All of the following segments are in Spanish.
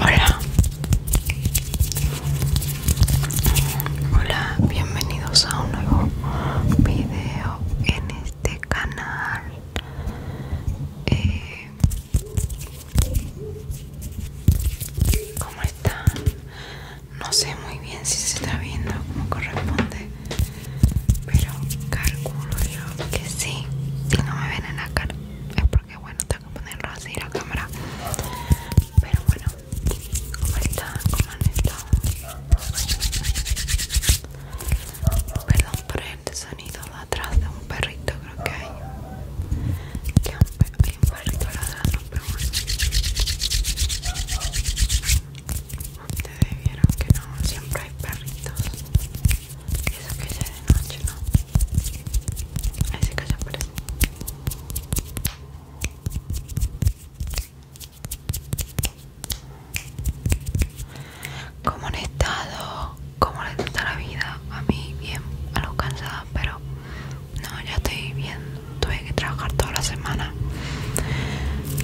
Hola. Hola, bienvenidos a un nuevo video en este canal. Eh, ¿Cómo están? No sé muy bien si se está viendo como corresponde pero calculo yo que sí si no me ven en la cara es porque bueno tengo que ponerlo así la cámara pero bueno ¿cómo están? ¿cómo han estado? perdón por el este sonido de atrás de un perrito creo que hay hay un perrito ladrando pero bueno ustedes vieron que no siempre hay perritos eso que ya de noche, ¿no? Ahí se calla ¿Cómo han estado? ¿Cómo les está la vida? A mí bien, a los cansada, pero no, ya estoy bien. Tuve que trabajar toda la semana.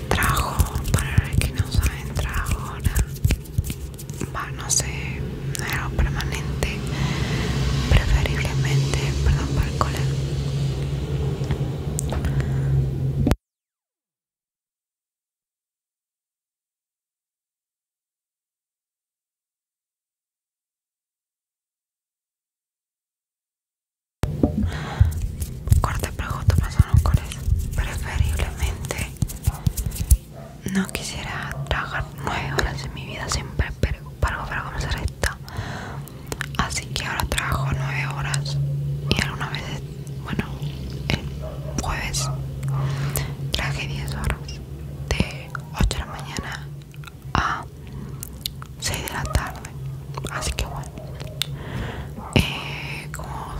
Trabajo, para los que no saben, trabajo bueno, no sé, era permanente, preferiblemente, perdón para el cole Corte pero no son un Preferiblemente no quisiera trabajar 9 horas en mi vida siempre pero para, comenzar esta. Así que ahora trabajo 9 horas y alguna vez bueno, el jueves traje 10 horas de 8 de la mañana a 6 de la tarde. Así que bueno, eh, como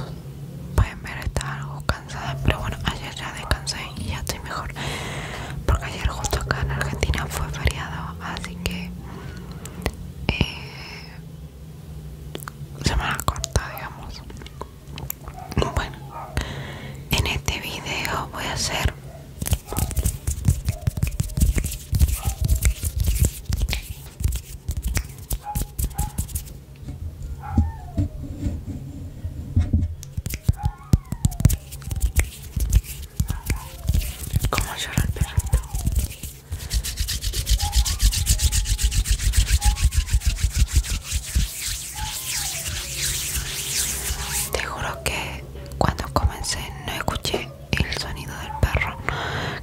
pueden ver está algo cansada pero bueno ayer ya descansé y ya estoy mejor porque ayer justo acá en Argentina fue feriado así que eh, me semana corta digamos bueno en este video voy a hacer como llora Te juro que cuando comencé no escuché el sonido del perro.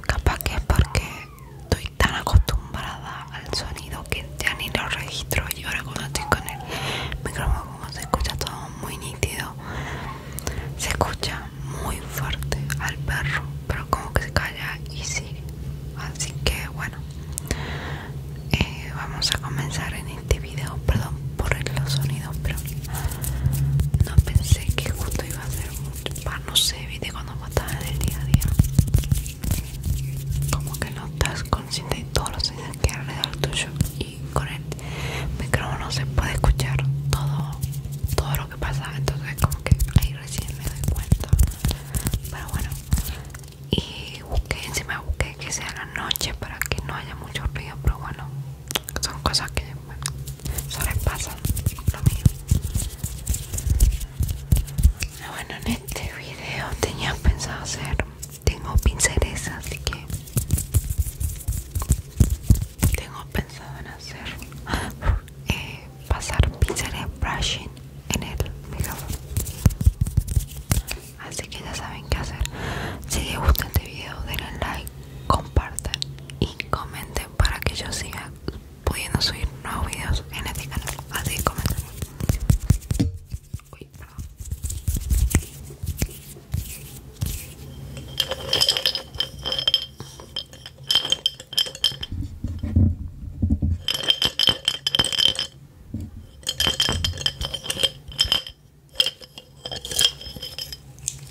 Capaz que es porque estoy tan acostumbrada al sonido que ya ni lo registro y ahora cuando estoy con el micrófono como se escucha todo muy nítido se escucha muy fuerte al perro pero como que se calla y sigue así que bueno eh, vamos a comenzar en este video perdón por los sonidos pero no pensé que justo iba a ser un no sé, viste cuando matas en el día a día como que no estás consciente de todos los que hay alrededor tuyo y con el micrófono se puede escuchar todo todo lo que pasa entonces como que ahí recién me doy cuenta pero bueno y busqué encima busqué que sea la noche para que no haya mucho ruido pero bueno son cosas que lo ah, Bueno, en este video tenía pensado hacer, tengo pinceles, así que tengo pensado en hacer eh, pasar pinceles brushing en el micrófono. Así que ya saben qué hacer. Si les gusta este video, denle like, compartan y comenten para que yo siga pudiendo subir nuevos videos en este canal. Así como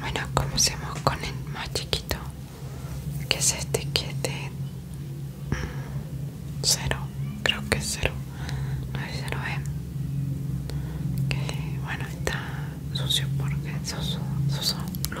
Bueno, comencemos con el más chiquito que es este que es mm, de cero creo que es cero no es cero eh que bueno está sucio porque esos soso lo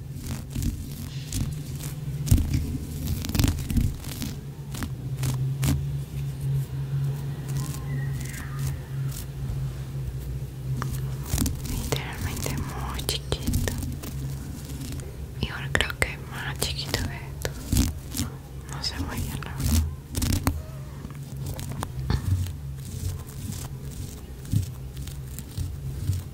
literalmente muy chiquito y ahora creo que es más chiquito de esto no se muy bien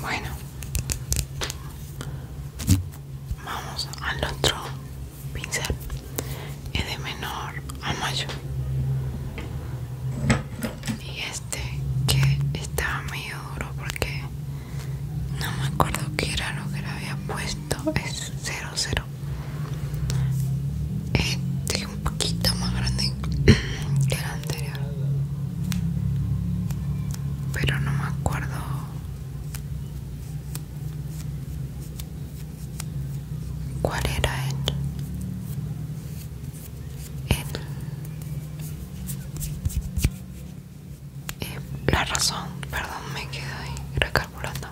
Bueno, vamos al otro pincel, es de menor a mayo y este que estaba medio duro porque no me acuerdo que era lo que le había puesto es 00 este eh, un poquito más grande que el anterior pero no me acuerdo ¿Cuál era él? El, eh, la razón, perdón, me quedo ahí recalculando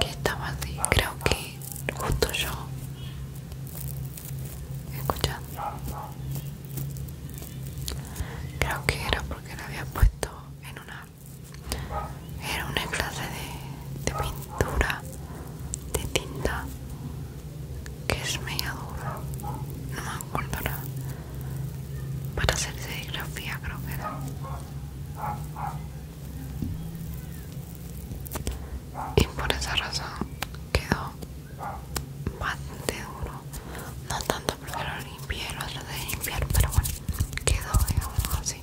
que estaba así. Creo que justo yo. Escuchando Creo que era porque la había puesto en una. Era una clase de, de pintura dura de tinta que es media dura no me acuerdo nada para hacer serigrafía creo que era y por esa razón quedó bastante duro no tanto porque lo limpié lo de limpiar pero bueno quedó digamos así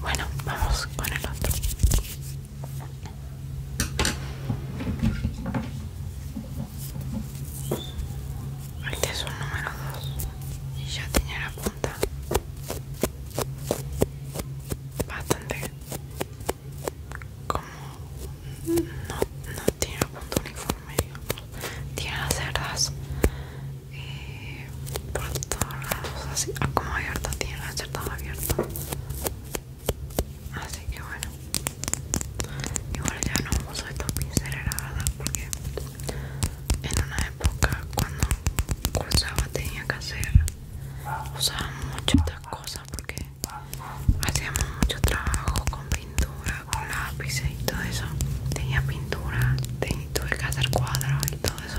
Bueno, vamos con el otro. Este es un número 2 y ya tiene la punta bastante como no, tiene la punta uniforme, tiene las cerdas eh, por todos lados, así ah, como abierto, tiene las cerdas abiertas. Así que bueno, igual ya no uso estos pinceles, la porque en una época cuando cursaba tenía que hacer, usaba mucho estas cosas porque hacíamos mucho trabajo con pintura, con lápices y todo eso. Tenía pintura, tenía tuve que hacer cuadros y todo eso.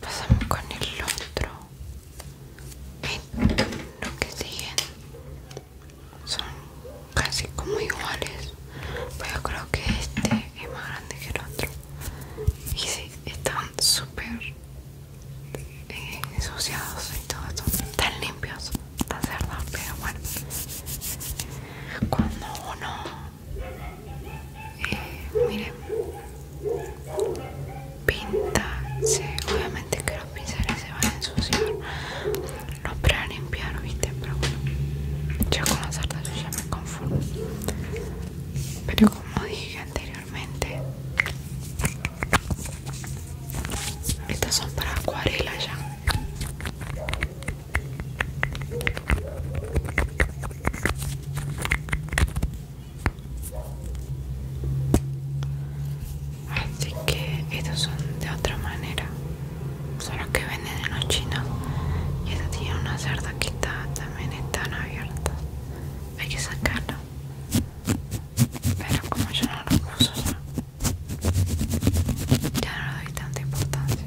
pasamos con el otro Ven, lo que siguen son casi como iguales pero yo creo que este es más grande que el otro y sí, están súper eh, ensuciados y todo esto tan limpios tan cerdos pero bueno cuando uno eh, mire miren pinta obviamente que los pinceles se van a ensuciar los para limpiar viste pero bueno ya con las yo ya me confundo pero como dije anteriormente estos son para acuarela ya Así que estos son de otra manera. Son que venden en los chinos. Y esta tiene una cerda que está, también están abierta Hay que sacarlo Pero como yo no lo uso ya no le doy tanta importancia.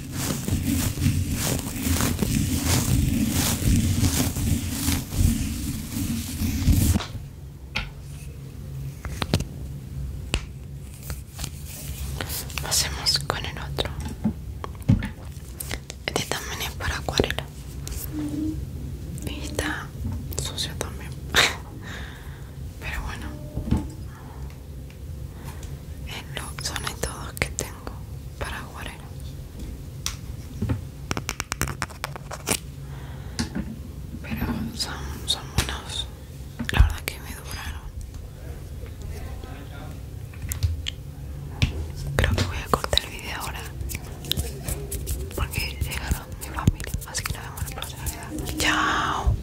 Pasemos con el otro. Este también es para acuarela. Y está sucio también. Pero bueno, en eh, los todos que tengo para Guarero. pero son, buenos la verdad que me duraron creo que voy a cortar el video ahora porque llegaron mi familia así que nos vemos en la próxima chao